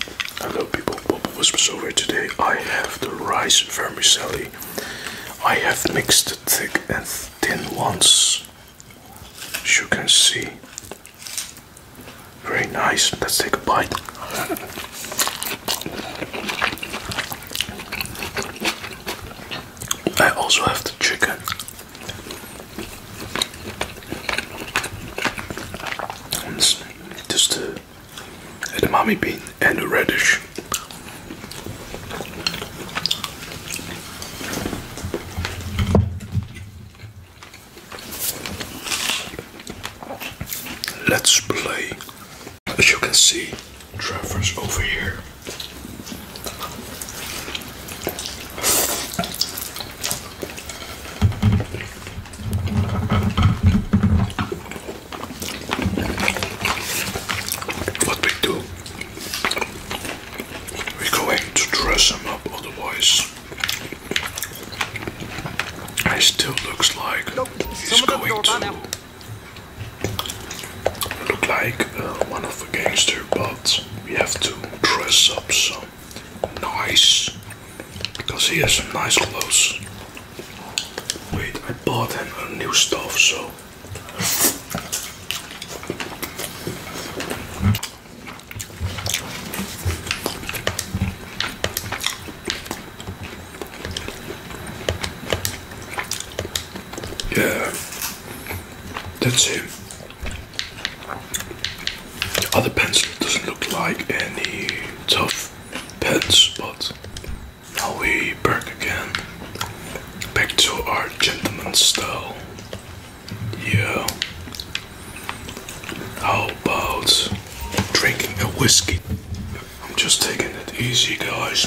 Hello people, Bob was over today. I have the rice vermicelli. I have mixed the thick and thin ones. As you can see. Very nice. Let's take a bite. I also have the chicken just the uh, edamame bean and the radish. Let's play. As you can see, Trevor's over here. What we do, we're going to dress him up, otherwise he still looks like he's going to look like uh, one of the gangster, but we have to dress up some nice because he has some nice clothes. Wait, I bought him a new stuff, so yeah, that's him. The other pencil doesn't look like any tough pens, but now we back again. Back to our gentleman style. Yeah. How about drinking a whiskey? I'm just taking it easy, guys.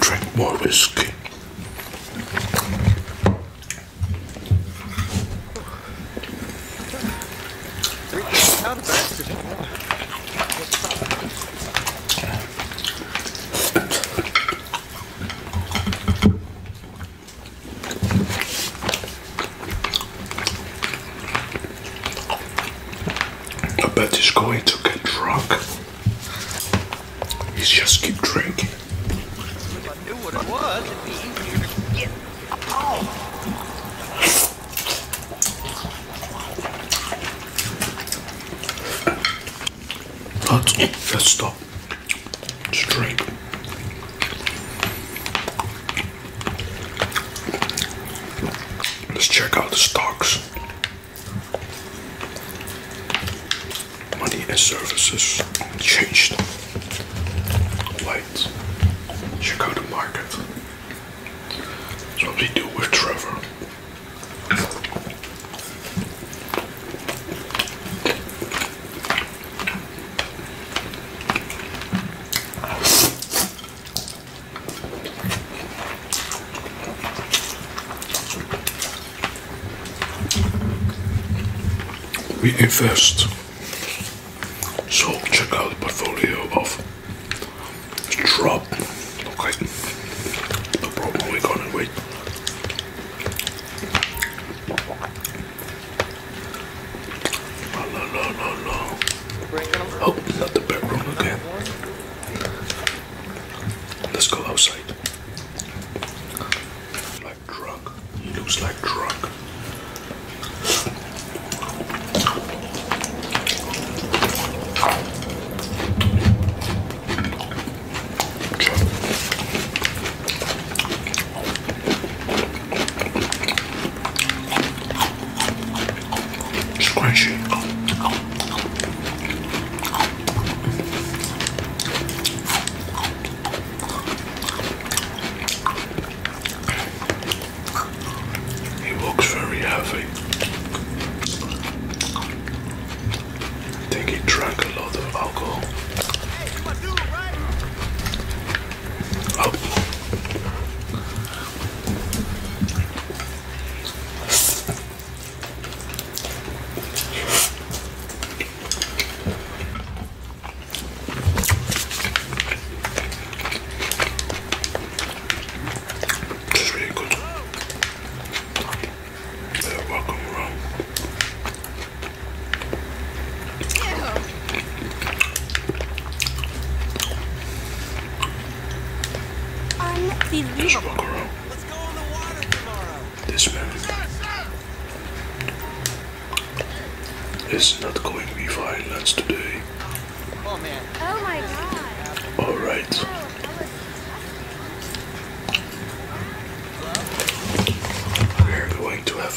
drink more whiskey. I bet he's going to get drunk. He's just keep drinking. I knew what it was, it'd be Let's, stop. Just Let's check out the stocks. Money and services changed. Wait, check market. what we do with Trevor. We invest. So check out the portfolio of Strop. Okay. No problem, we're gonna wait. la la la la. Oh, not the bedroom again. Let's go outside. Like drunk. He looks like drunk. Scrunchy. He looks very heavy. I think he drank a lot of alcohol. This is really good. They're welcome around. Unbelievable. This man is not going to be violent today. Oh man. Oh my god. Alright. We're going to have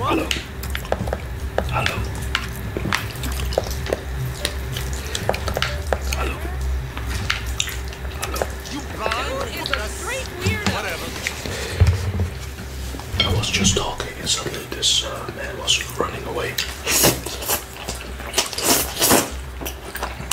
Hello. Hello. Hello. Hello. is a straight weirdo. Whatever. I was just talking and suddenly this uh, man was running away.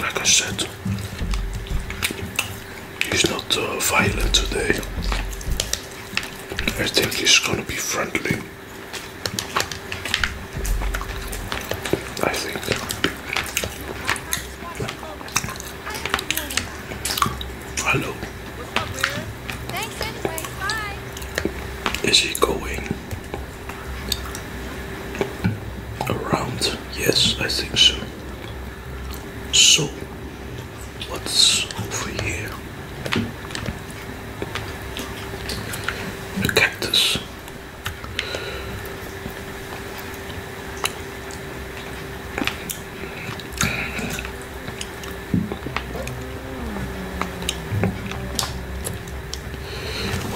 like I said, he's not uh, violent today. I think he's gonna be friendly. I think. Hello. Thanks anyway. Bye. Is he going? Around, yes, I think so. So, what's over here? A cactus.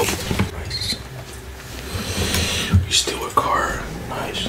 Oh, nice. You steal a car. Nice.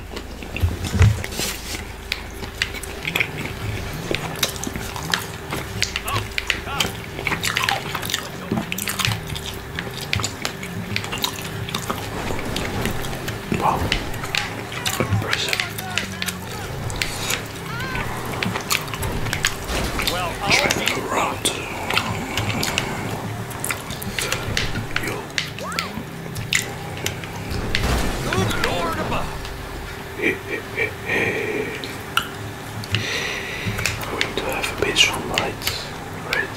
Wow, impressive. Well, Try to go around. You'll Good Lord above. I'm going to have a bit strong lights. Right.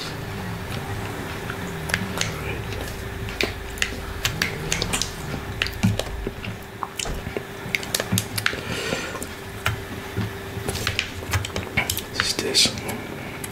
What is this?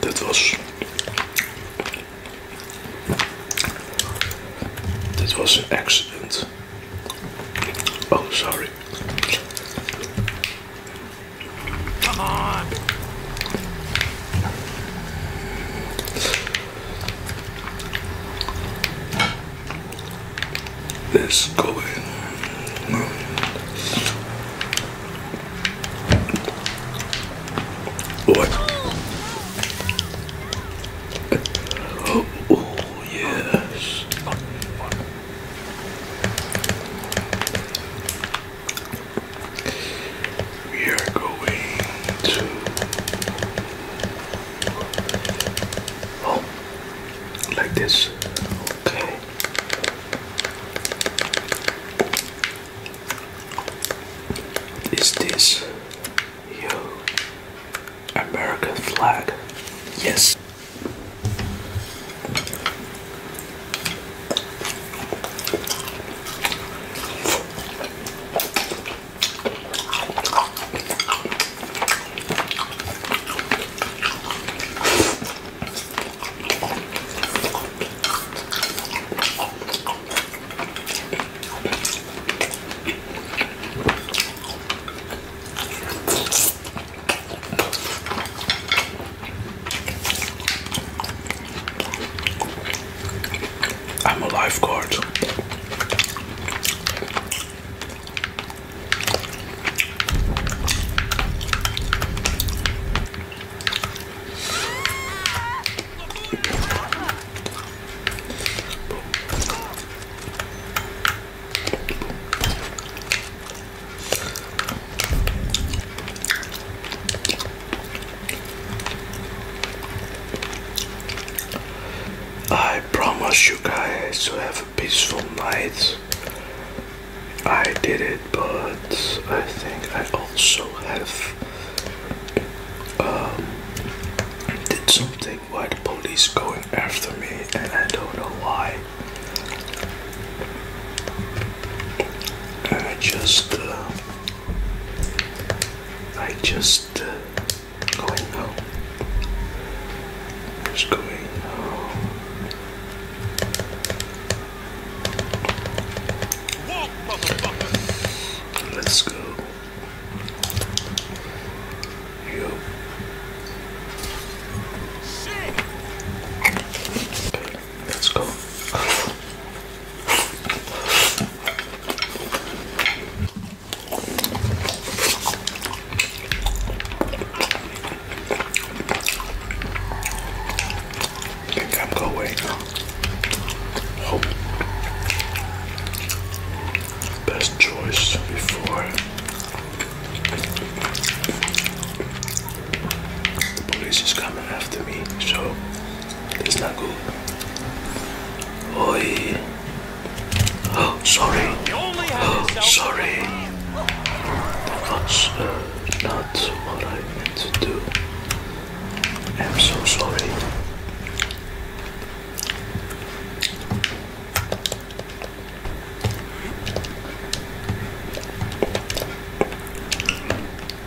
Dat was. Dat was een accident. Oh, sorry. Come on. Let's go in. Boy. Oh, yes. We are going to oh, like this. Okay. Is this your American flag? Yes. I'm a lifeguard. I promise you guys to have peaceful night. I did it, but I think I also have um, did something why the police going after me, and I don't know why. I just, uh, I just uh, going out. Just going now. Let's go. Yo. Okay, let's go. I am going now. Oh. Best choice before the police is coming after me, so it's not good. Oi. Oh, sorry. Oh, sorry. That's uh, not what I meant to do. I'm so sorry.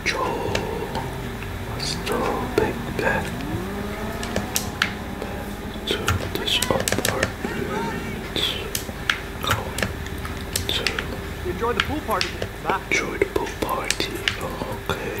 Joe, let's big back to this Enjoy the pool party. Enjoy the pool party. okay. okay.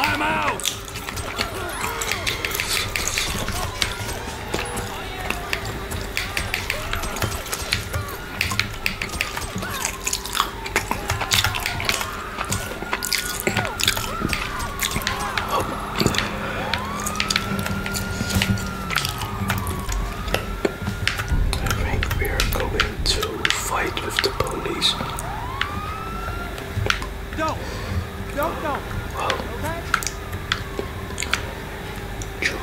I'm out! I think we are going to fight with the police. Don't! Don't, don't! okay? True.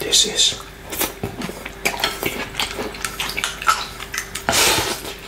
This is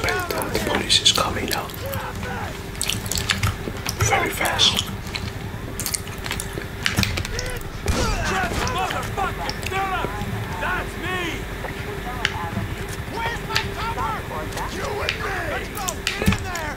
Spectre, the police is coming now. Very fast. That's me! Where's my cover? You and me! Let's go! Get in there!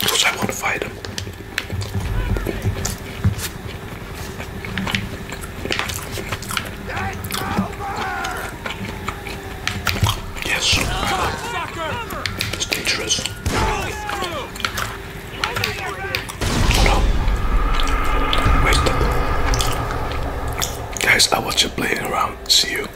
Because I want to fight him. Yes. it's dangerous. Oh, no. Wait. Guys, I was just playing around. See you.